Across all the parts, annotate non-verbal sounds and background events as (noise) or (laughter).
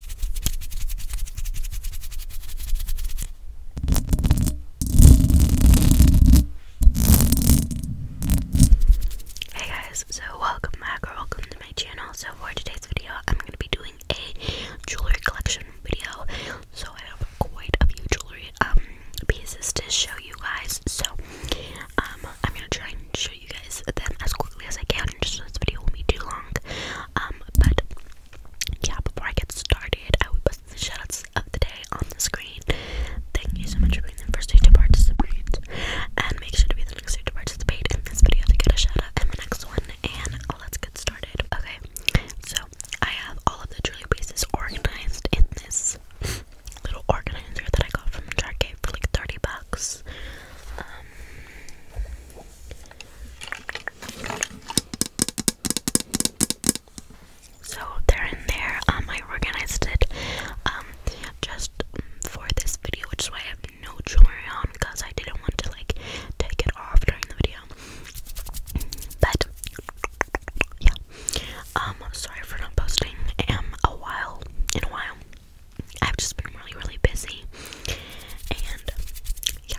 Hey guys, so welcome back or welcome to my channel. So for today's video, I'm going to be doing a jewelry collection video. So I have quite a few jewelry um pieces to show you guys. So um I'm going to try and show you guys them as quickly as I can and just so this video won't be too long. Um, but yeah, before I get started, I would put the shoutouts of the day on the screen. Thank you so much for being the first to participate, and make sure to be the next to participate in this video to get a shoutout in the next one. And let's get started. Okay, so I have all of the jewelry pieces organized in this little organizer that I got from Target for like 30 bucks. Um, so they're in there. Um, I organized it um just for this video, which is why I have no jewelry on because I didn't want to like take it off during the video. But yeah, um, sorry for not posting um a while in a while. I've just been really, really busy. And yeah.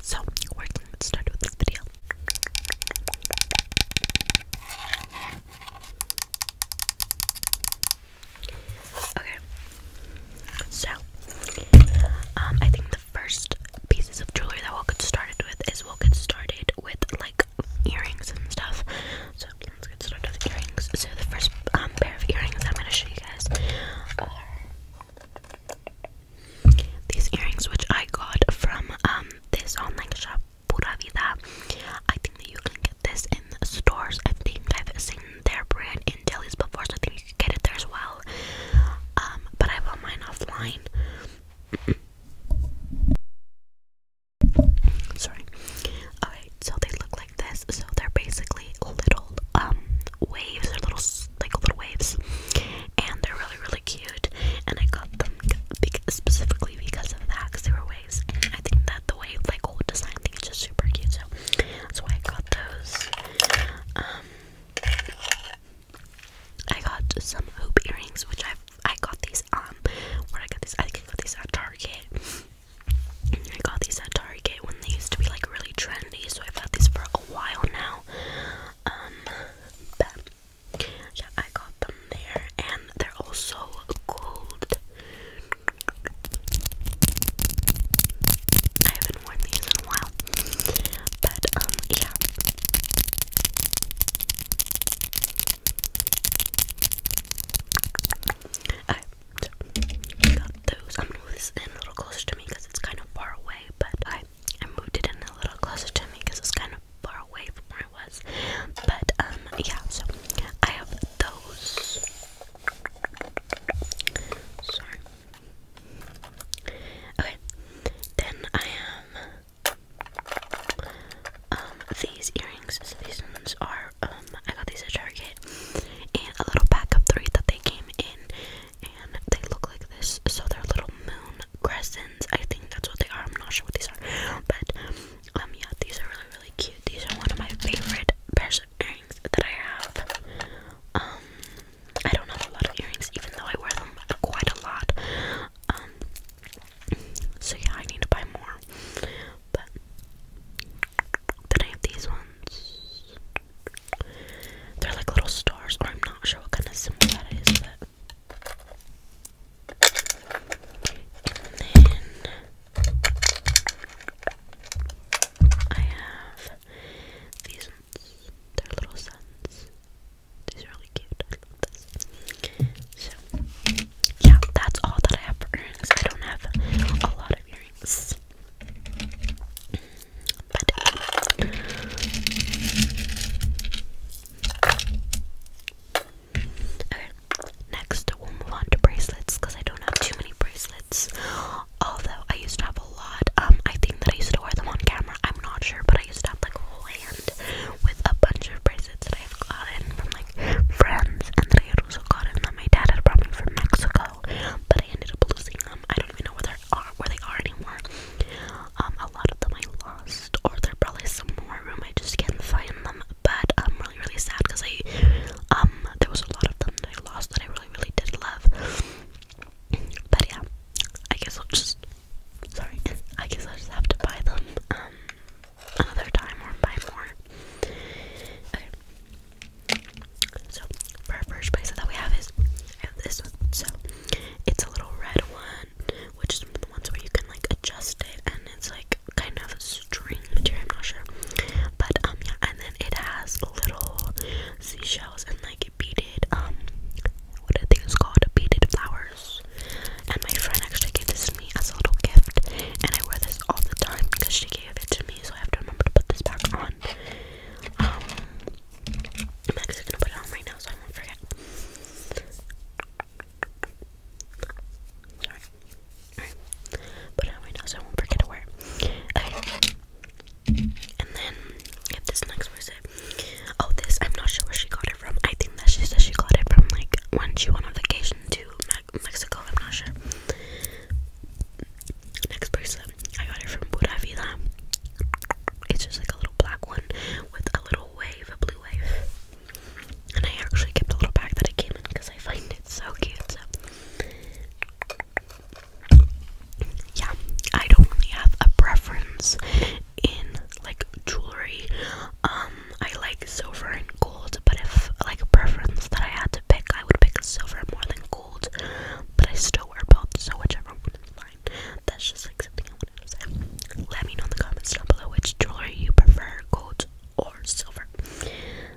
So, we're going to start with this video. Okay. So, um, I think the first pieces of jewelry that we'll get started with is we'll get started with like earrings and stuff. So, let's get started with earrings. So the first um, pair of earrings I'm going to show you guys are these earrings, which I got from um, this online shop, Pura I think that you can get this in stores. I think I've seen their brand in delis before, so I think you can get it there as well. Um, but I bought mine offline. Sorry. Alright, so they look like this, so they're basically little um waves or little like little waves, and they're really really cute. And I got them specifically because of that, because they were waves. I think that the wave like old design thing is just super cute, so that's why I got those. Um, I got some hoop earrings, which i I got these um where I got these I think I got these at Target. I got these at Target when they used to be like really trendy, so I've had these for a while now. Um, yeah, I got them there, and they're also gold. I haven't worn these in a while, but um, yeah. I those. I'm gonna move this in a little closer to me because it's kind of far away, but I, moved it in a little closer to me because it's kind of far away from where I was. But, um, yeah, so I have those. Okay, then I have um, these earrings. These ones are um I got these at Target and a little pack of three that they came in and they look like this. So they're little moon crescents. I think that's what they are. I'm not sure what these are. But um, yeah, these are really really cute. These are one of my favorite pairs of earrings that I have. Um, I don't have a lot of earrings even though I wear them quite a lot. Um, so yeah, I need to buy more. But then I have these ones. They're like little stars, or I'm not sure what kind of symbol that is, and then I have these ones. They're little suns. These are really cute. So yeah, that's all that I have for earrings. I don't have a lot of earrings. Uh, next we'll move on to bracelets because I don't have too many bracelets. Although I used to have a lot. Um, I think that I used to wear them on camera. I'm not sure, but I used to have like a whole hand with a bunch of bracelets that I've gotten from like friends, and then I had also My dad had brought from Mexico, but I ended up losing them. I don't even know where they are, where they are anymore. Um, a lot of them I lost, or they're probably somewhere room. I just can't find them. But I'm really, really sad because I, um, there was a lot of them that I lost that I really, really did love. But yeah, I guess I'll just. Sorry, I guess I'll just have to buy them. Um, another time or buy more. So our first bracelet that we have is I have this one. So it's a little red one, which is the ones where you can like adjust it and it's like kind of string material, I'm not sure. But um yeah, and then it has little seashells and like beaded um what I think it's called beaded flowers. And my friend actually gave this to me as a little gift and I wear this all the time because she gave it to me, so I have to remember to put this back on. Um, I'm gonna put it on right now so I won't forget. Put it on right now so I won't forget to wear Okay. And then, if this next was Oh, this, I'm not sure where she got it from. I think that she said she got it from like when she went on vacation to Mexico. I'm not sure. Next bracelet, I got it from Pura Vida. It's just like a little black one with a little wave, a blue wave. And I actually kept a little bag that I came in because I find it so cute. So. Yeah, I don't really have a preference in like jewelry. Um, I like silver and gold, but if like a preference that I had pick, I would pick silver more than gold, but I still wear both, so whichever one is fine. That's just like something I want to say. Let me know in the comments down below which jewelry you prefer, gold or silver.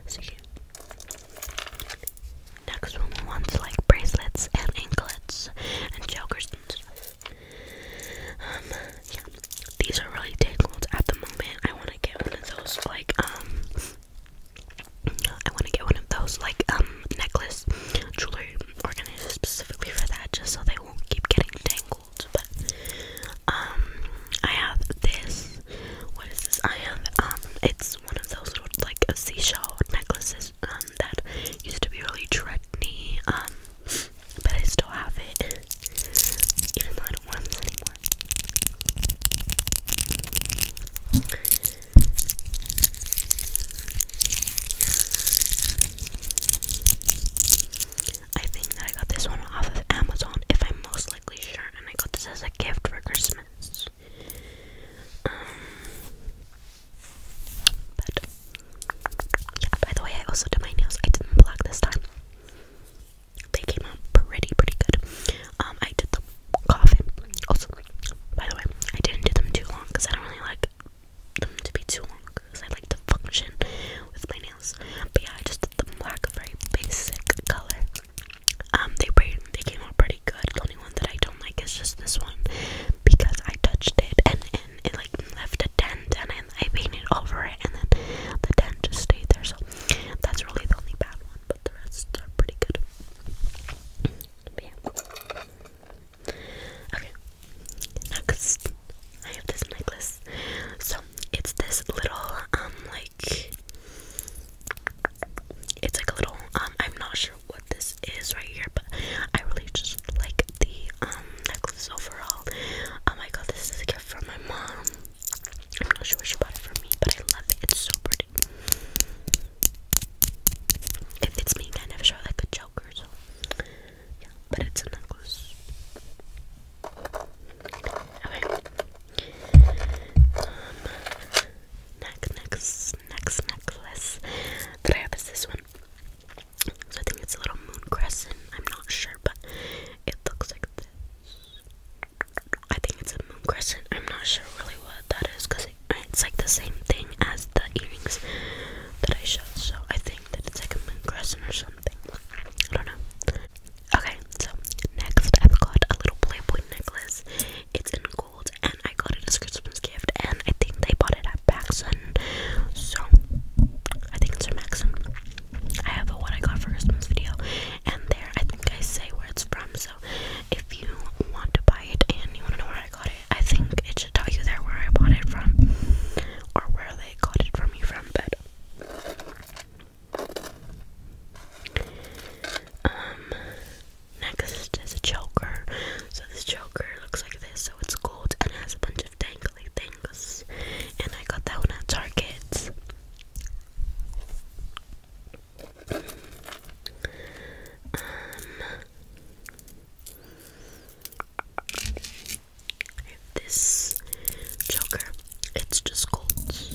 So yeah. Next we want like bracelets and anklets and jokers Um, yeah. These are really tangled at the moment. I want to get one of those, like, um, I want to get one of those, like, um, necklace jewelry organizers specifically for that, just so they won't keep getting tangled. But, um, I have this. What is this? I have, um, it's one of those little, like, a seashell necklaces, um, that used to be really trendy, um, but I still have it good I think that I got this one off of Amazon, if I'm most likely sure, and I got this as a gift for Christmas. Um, but yeah, by the way, I also did my nails. I didn't black this time they came out pretty, pretty good. Um, I did the coffin. Also, by the way, I didn't do them too long because I don't really like them to be too long because I like to function with my nails. But yeah, I just did them black, very basic color. Um, they they came out pretty good. The only one that I don't like is just this one because I touched it and, and it like left a dent and I, I painted over it and then the dent just stayed there. So that's really the only bad one, but the rest are pretty good. Okay. Next, I have this necklace. So it's this little um like it's like a little um I'm not sure what this is right here, but I really just like the um necklace overall. Um oh I got this as a gift from my mom. I'm not sure she bought it for me, but I love it. It's so pretty. It fits me kind of short like a choker, yeah, but it's a necklace. Okay. next, next, next necklace that I have is this one. So I think it's a little moon crescent. I'm not sure, but it looks like this. I think it's a moon crescent. I'm not sure really what that is because it's like the same thing as the earrings that I showed. So I think that it's like a moon crescent or something. I don't know. Okay, so next I've got a little Playboy necklace. It's in gold and I got it as Christmas gift and I think they bought it at Maxon. So I think it's from Maxon. I have a what I got for Christmas video and there I think I say where it's from. So if you want to buy it and you want to know where I got it, I think it should tell you there where I bought it from or where they got it from you from. But um, next is a choker. So this choker looks like this. So it's gold and it has a bunch of dangly things. And I got that one at Target. Um, if this Joker, it's just gold. It's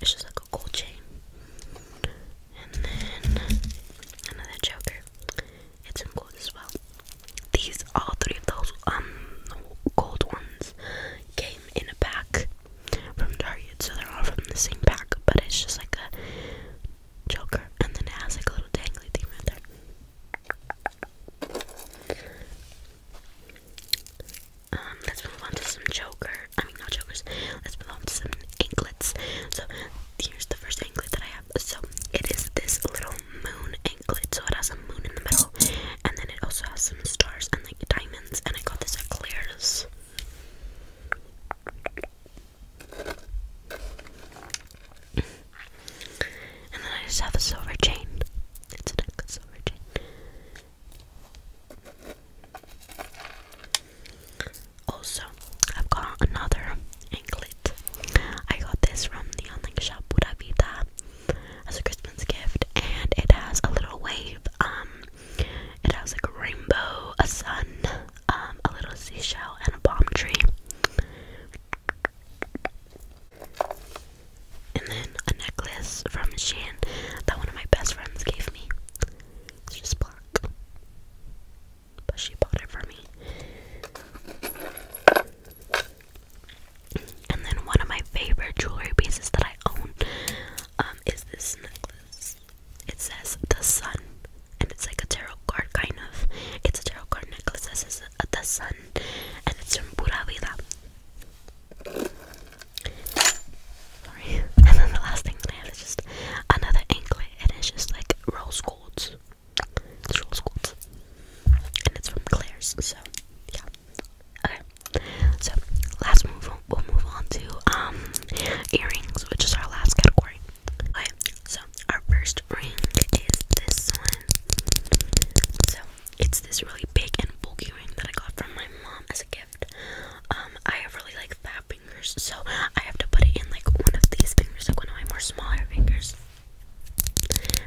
just like a gold chain. And then another Joker. It's in gold as well. These all three of those um gold ones came in a pack from Target, so they're all from the same pack, but it's just like a joker, and then it has like a little dangly thing right there. Um, let's move on to some joker. I mean, not jokers. Let's move on to some anklets. So here's the first anklet that I have. So it is this little moon anklet crinkled, so it has a moon in the middle, and then it also has some stars and like diamonds. And I got this at Claire's. And then I just have a silver chain. It's a nice silver chain. Also, I've got another anklet I got this from the online shop Pura Vida as a Christmas gift, and it has a little wave. Um, it has like a rainbow, a sun, um, a little seashell, and a palm tree. And then a necklace from Shan that one of my best friends gave me. It's just black, but she bought it for me. And then one of my favorite jewelry pieces that I own um, is this necklace. It says the sun, and it's like a tarot card kind of. It's a tarot card necklace that says uh, the sun, and it's from Pura Vida. Sorry. (laughs) And then the last thing that I have is just another anklet, and it's just like rose gold. It's roll squats. And it's from Claire's, so yeah. Okay. So last move we'll move on to um earrings, which is our last category. Okay, so our first ring is this one. So it's this really big and bulky ring that I got from my mom as a gift. Um, I have really like fat fingers, so I have to put it in like one of these fingers, like one of my more smaller fingers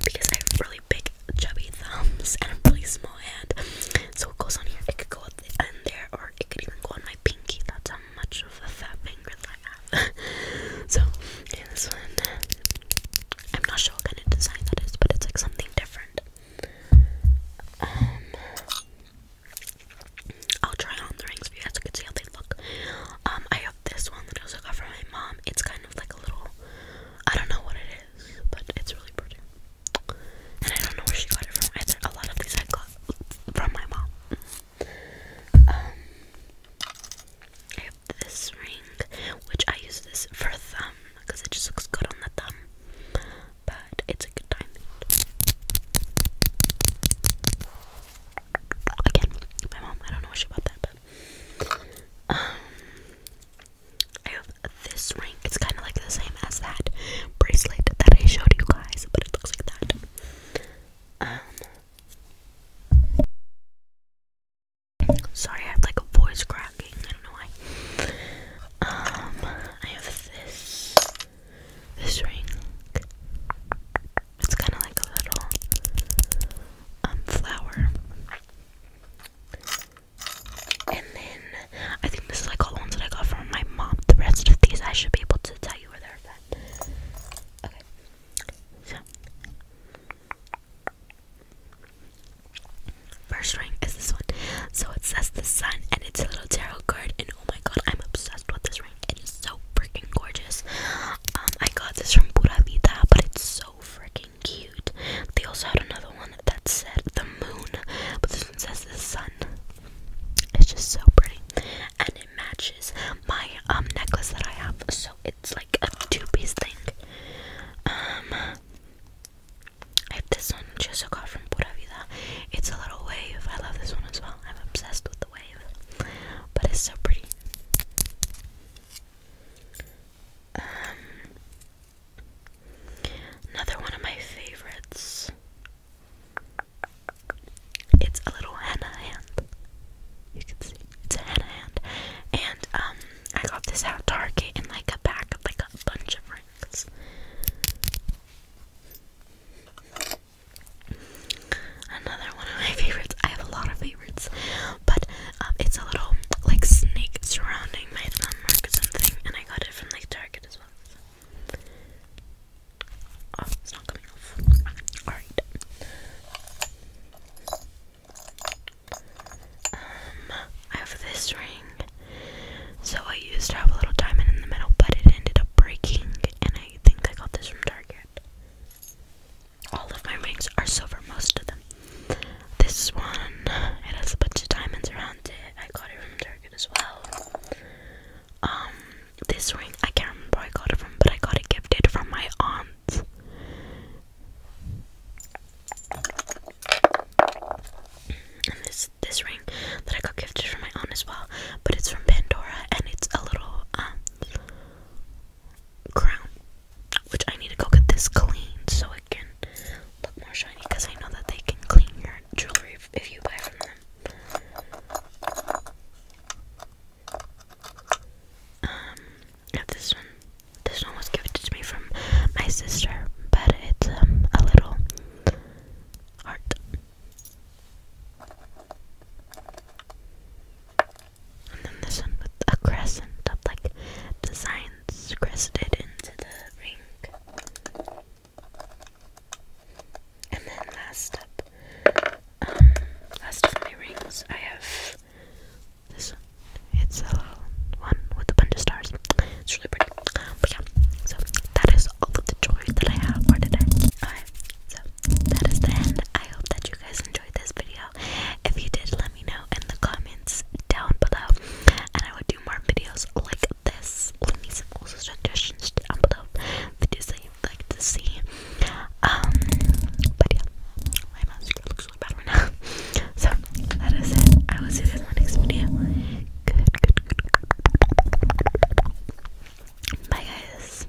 because I have really big chubby thumbs and a really small hand. So it goes on here. It could go up in there, or it could even go on my pinky. That's how much of a fat finger I have. (laughs) so this one, I'm not sure what kind of design that is, but it's like something different. Um, I'll try on the rings for you guys so you can see how they look. Um, I have this one that I also got from my mom. Um, it's kind of like a little, I don't know what it is, but it's really pretty. And I don't know where she got it from either. A lot of these I got from my mom. Um, I have this ring, which I use this for thumb because it just looks good on the thumb. But it's a good diamond. Again, my mom. I don't know what she bought that, but um, I have this ring. It's kind of like the same as that bracelet that I showed you guys, but it looks like that. Um, sorry, I have like a voice cracking. I don't know why. Um, I have this this ring. It's kind of like a little um, flower. And then I think this is like all ones that I got from my mom. The rest of these I should be able to tell you where they're from. Okay. First ring is this one. So it says the sun and it's a little tarot card and oh my god, I'm obsessed with this it is so freaking gorgeous. Um, I got this from Pura Vida, but it's so freaking cute. They also had another one that said the moon, but this one says the sun. It's just so pretty, and it matches my um, necklace that I have. So it's like a two-piece thing. Um, I have this one which I got from Pura Vida. It's a little wave. I love this one as well. I'm obsessed with the wave, but it's so pretty. Um, another one of my favorites. It's a little henna hand. You can see it's a henna hand, and um, I got this at Target in like a pack of like a bunch of rings. Another one of my favorites. I have a lot of favorites, but um, it's a little like snake surrounding my thumb or something, and I got it from like Target as well. Oh, it's not coming off. Alright. Um, I have this ring. So I used to have a little diamond in the middle, but it ended up breaking, and I think I got this from Target. All of my rings are silver, most of them. This one, it has a bunch of diamonds around it. I got it from Target as well. Um, this ring, I can't remember I got it from, but I got it gifted from my aunt. And this this ring that I got gifted from my aunt as well, but it's from Pandora and it's a little um crown, which I need to go get this cleaned so it can look more shiny because I know that they can clean your jewelry if, you buy from them. Um, this one. This one was gifted to me from my sister, but it's um, a little heart. And then this one with a crescent of like designs crested into the ring. And then last up, um, last of my rings, I have this one. It's a one with a bunch of stars. It's really pretty. But yeah, so that is all the joy that I have for today. so that is the end. I hope that you you guys enjoyed this video. If you did, let me know in the comments down below, and I would do more videos like this. Leave me some also suggestions down below, videos that you'd like to see. Um, but yeah, my mascara looks really bad right now. (laughs) So that is it. I will see you in my next video. good, good. Bye, guys.